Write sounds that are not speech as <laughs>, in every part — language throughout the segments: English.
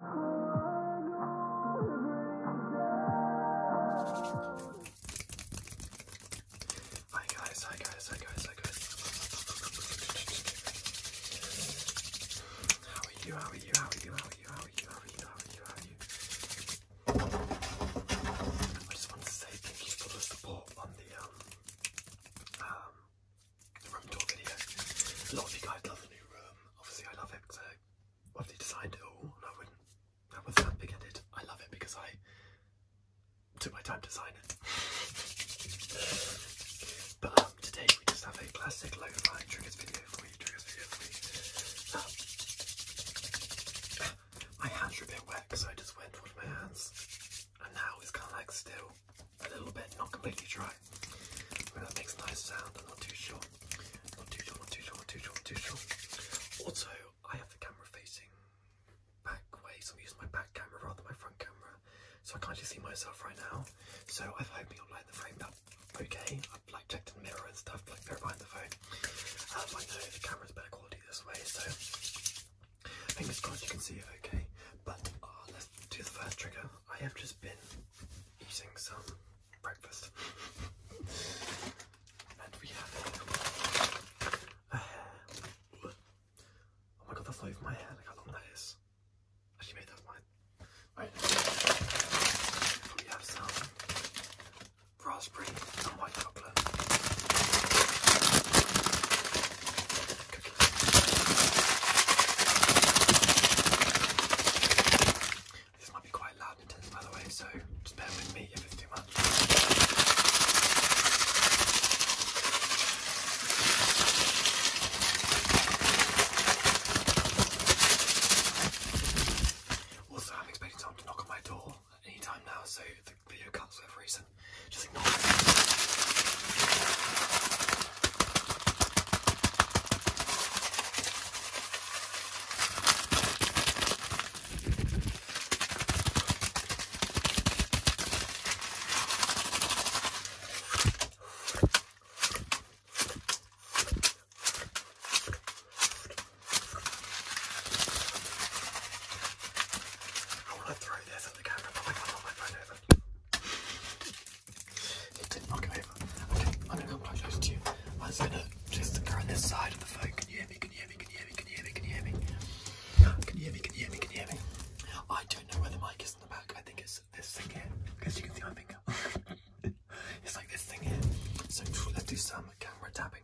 Hi guys, hi guys, hi guys, hi guys. How are you? How are you? How are you? How are you? How are you? How are you? How are you? I just want to say thank you for the support on the um, um room tour video. A lot of you guys love the new room. Obviously, I love it because I lovely designed it all, and I wouldn't. I was that big-headed. I love it because I took my time to design it. but um, today we just have a classic lo-fi triggers video for you. Triggers video for you. Ah. Ah, my hands are a bit wet, so I just went wash my hands, and now it's kind of like still a little bit, not completely dry. I that makes a nice sound. I'm not too sure. Not too sure. Not too sure. Not too sure. Not too sure. Also, I have the camera facing back way, so I'm using my back camera rather my front camera, so I can't actually see myself right now. So I'm hoping i the frame up okay. I've like checked in the mirror and stuff, like mirror behind the phone. Um, I know the camera's better quality this way, so fingers crossed you can see it okay. But ah, let's do the first trigger. I have just been eating some breakfast. and we have a hair. <sighs> Oh my god, that's not even my hair. Look how long that is. Actually, made that mine. We have some raspberry and white chocolate. This might be quite loud intense, by the way, so just bear with me if it's too much. Also, I'm expecting someone to knock on my door at any time now, so the video cuts for whatever reason, just ignore it. I want to throw this at the camera, but I can't hold my phone over. Okay, I'm gonna come quite close to you. I'm gonna just occur on this side of the phone. Can you hear me? Can you hear me? Can you hear me? Can you hear me? Can you hear me? Can you hear me? Can you hear me? I don't know where the mic is in the back. I think it's this thing here. Because you can see my finger. <laughs> it's like this thing here. So let's do some camera tapping.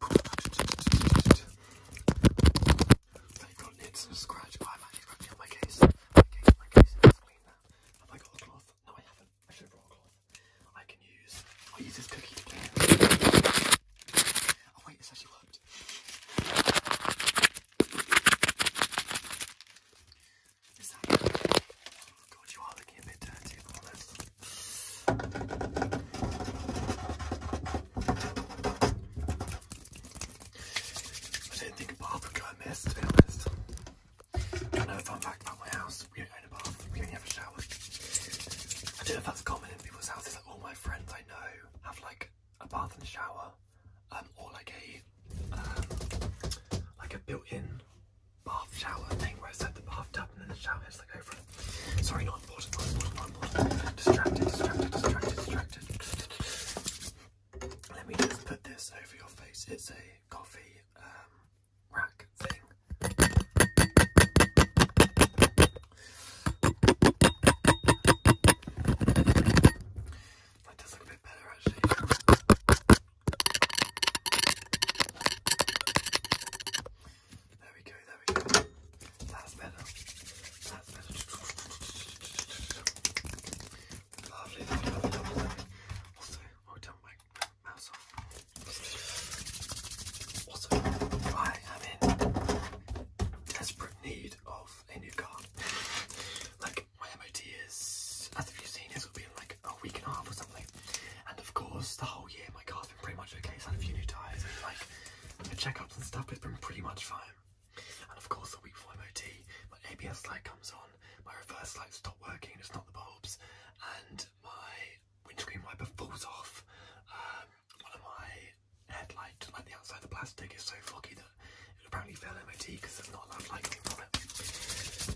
They've got nibs and scratch, but I'm actually scratching on my case. My case, my case is clean now. Have I got a cloth? No, I haven't. I should have brought a cloth. I can use. I use this cookie to clean. Oh wait, this actually worked. Is that? Don't you want to give me dirty bonus? I didn't think a bathroom got a mess, to be honest. Another fun fact about my house, we don't bath. a bathroom, we only have a shower. I don't know if that's common in people's houses, like all my friends I know have like a bath and shower, um, or like a, um, like a built-in bath shower thing where it's at the bathtub and then the shower heads like over Sorry, not important, not important, not important. Distracted, distracted, distracted, distracted. Let me just put this over your face. It's a coffee um, rack thing. That does look a bit better actually. There we go, there we go. That's better. That's better. Lovely, lovely, lovely, lovely. mouse off. Also, I am in desperate need of a new car. like, my MOT is, as you seen, this will be like a week and a half or something. And of course, the whole year my car's been pretty much okay. It's had a few new tyres and like the checkups and stuff. It's been pretty much fine. And of course, the week for MOT, my ABS light comes on, my reverse light stopped working. It's not the bulbs, and my windscreen wiper falls off. Um, one of my headlights, like the outside the plastic, is so foggy that it apparently failed MOT because there's not enough light coming from it.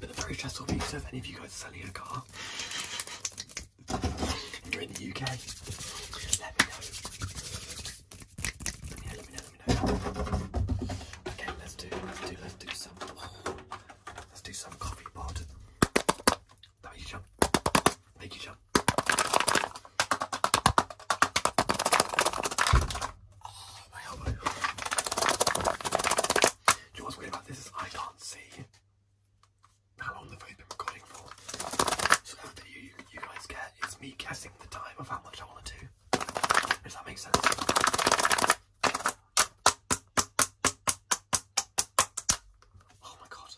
But the very stressful So, if any of you guys are selling a car, you're in the UK, let me know. Okay, let's do, do, let's do some, let's do some coffee pot. Thank you, John. Thank you, John. Oh, my about this is I can see how long the video's been recording for. So that video you, guys get is me guessing the time of how much I want to do. Does that make sense? Oh my god.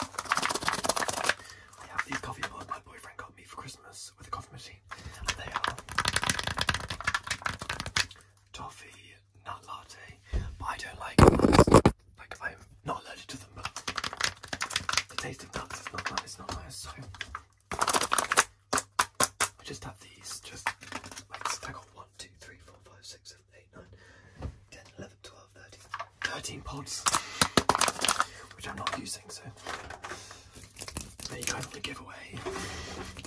I have these coffee mugs my boyfriend got me for Christmas with a coffee machine. And they are toffee nut latte, but I don't like Like I'm not allergic to them, but the taste of nuts is not nice. not nice. So I just have these. Just like stack on one, two, three, four, five, six, seven, eight, nine, ten, eleven, twelve, thirteen, thirteen pods, which I'm not using. So there you go. The giveaway.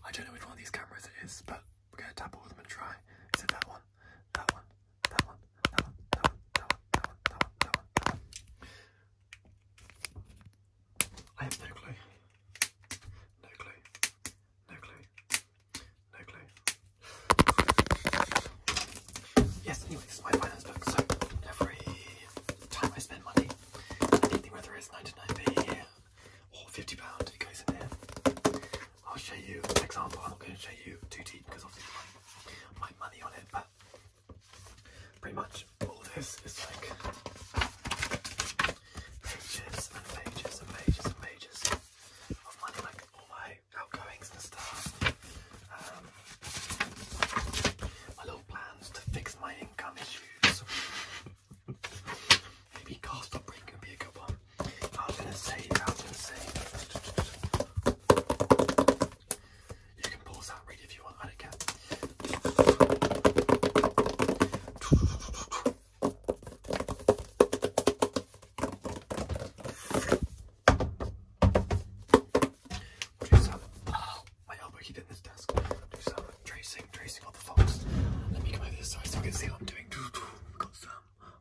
I don't know which one of these cameras it is, but we're gonna tap all of them and try. Is it that one? That one? That one? That one? That one? That one? That one? That one? That one? That one? I have no clue. No clue. No clue. No clue. Yes, anyway, this is my finance book, so every time I spend money, I think the weather is 99p or 50 pound. It goes in there. I'll show you an example. I'm not going to show you too deep because obviously my, my money on it, but pretty much all this is like pages and pages and pages and pages of like all my outgoings and stuff. Um, my little plans to fix my income issues. Maybe cast up break be a good one. I'm gonna say, I'm gonna say. You can pause that read if you want, I don't care. Producer, oh, I help her keep in this desk. tracing, tracing all the folks. Let me come over this side so I can see what I'm doing. Got some.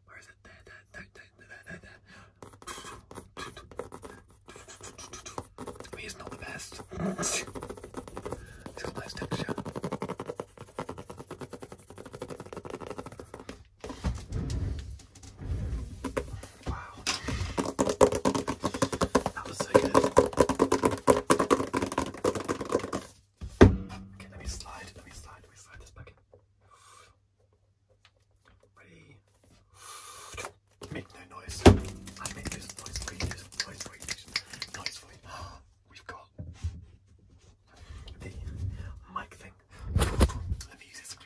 Where is it? There, there, there, there, there, there, it's not the best. it's got nice texture. Wow. That was so good. Okay, let me slide, let me slide, let me slide this back Ready? Make no noise. I make this noise for you, noise for you, noise <gasps> We've got the mic thing.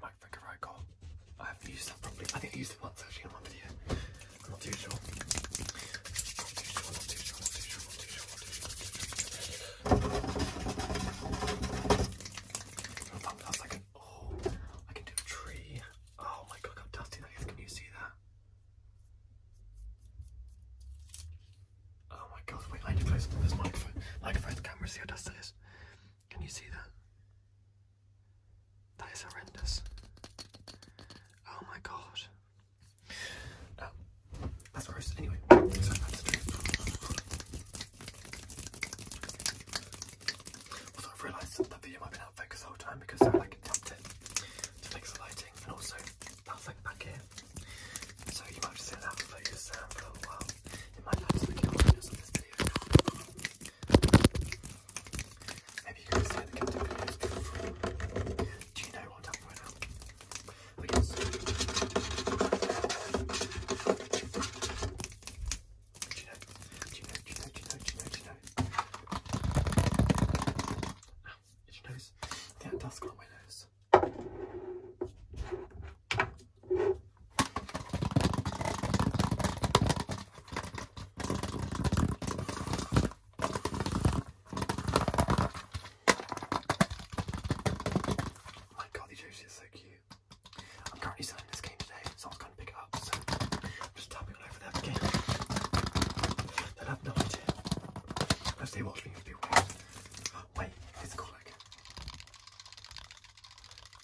microphone can right I haven't used that properly. I think I used it once actually in one video. I'm not too sure. Not too sure, not too sure, not too sure, not too sure, not too sure, not too sure. I can, oh, I can do a tree. Oh my god, how dusty that is. Can you see that? Oh my god, wait, I need to close up this microphone. Microphone the camera, see how dusty it is. Can you see that? That is horrendous. Oh my god. Um, that's worse. Anyway, I've realised that the video might be out of focus the whole time because I like tapped to fix the lighting and also that back here. So you might just sit that for sound uh, for a little while. It might have to be this video. Maybe you guys hear the captain videos before. Do you know what I'm right now? I guess. Do you know? Do you know? Do you know? Do you know? Do you know? Do you know? Do you know? Ow, itchy nose. Yeah, dust got on my nose. Oh my god, these Yoshi are so cute. I'm currently selling this game today, so I was going to pick it up, so I'm just tapping all for that game. They'll have no idea. Unless they watch me, it'll be quick.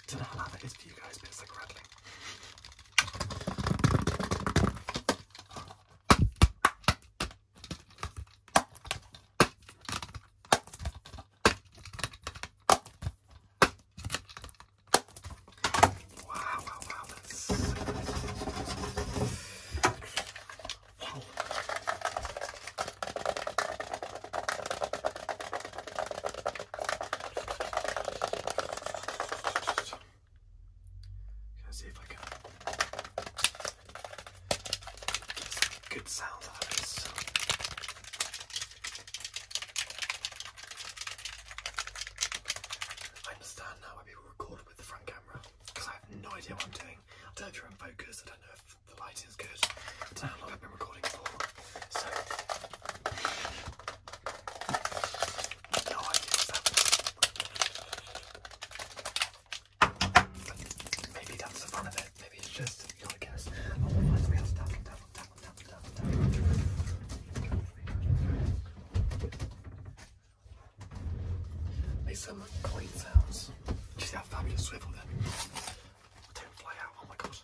Don't know how that is for you guys, but it's like rattling. Wow, wow, wow, that's Wow. going see if I can get some good sounds out this. I understand now why people record with the front camera because I have no idea what I'm doing. I don't know if you're in focus. I don't know if the is good. It's how long I've been recording for. So no idea maybe that's the fun of it. Maybe it's just you gotta guess. Oh, Makes some clean sounds. Just how fabulous swivel them. Don't fly out, oh my god.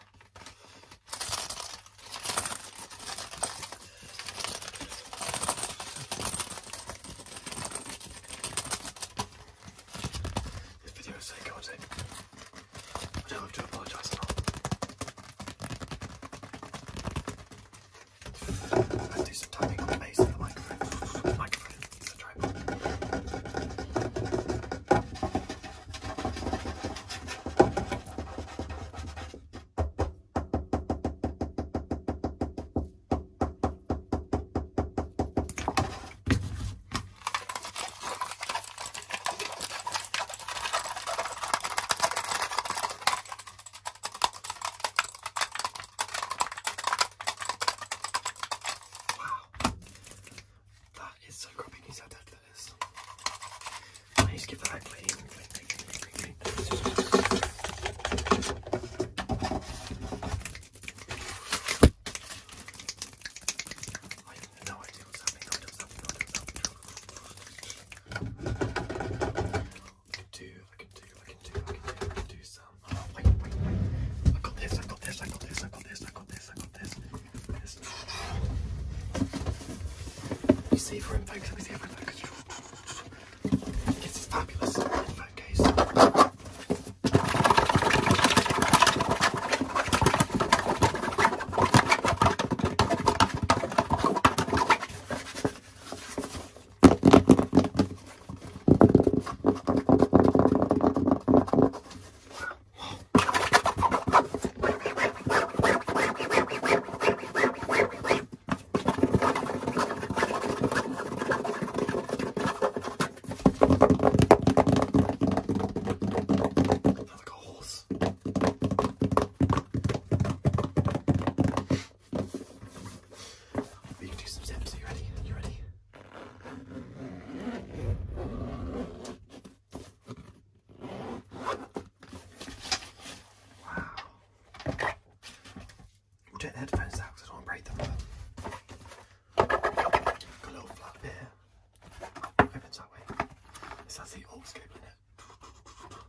This video is so chaotic. I don't have to apologise for I do some tapping on the base of the microphone. microphone. It's a tripod. Wow. That is so grubby news how dead that is. I need to give that a clean, clean, clean, clean, clean, I have no idea what's happening, no idea what's happening, no idea what's happening. I can do, I can do, I can do, I can do, do some. I got this, I got this, I got this, I got this, I got this, I got this. this. Let me see if we're in focus, we're in focus. This fabulous in focus. Like a horse. We can do some steps. Are you ready? Are you ready? Wow. We'll headphones out because I don't break them. Got a little flap here. that way. This has the old in it.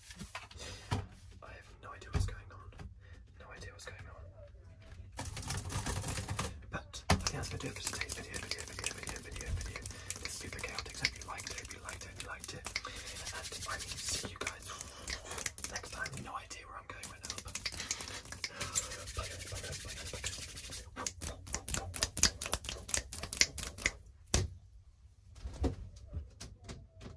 I have no idea what's going on. No idea what's going on. But I do it for video, video, video, video, video, video. This is super chaotic, so if you liked it, if you liked it, liked it. And I will see you guys next time. No idea where I'm going right now,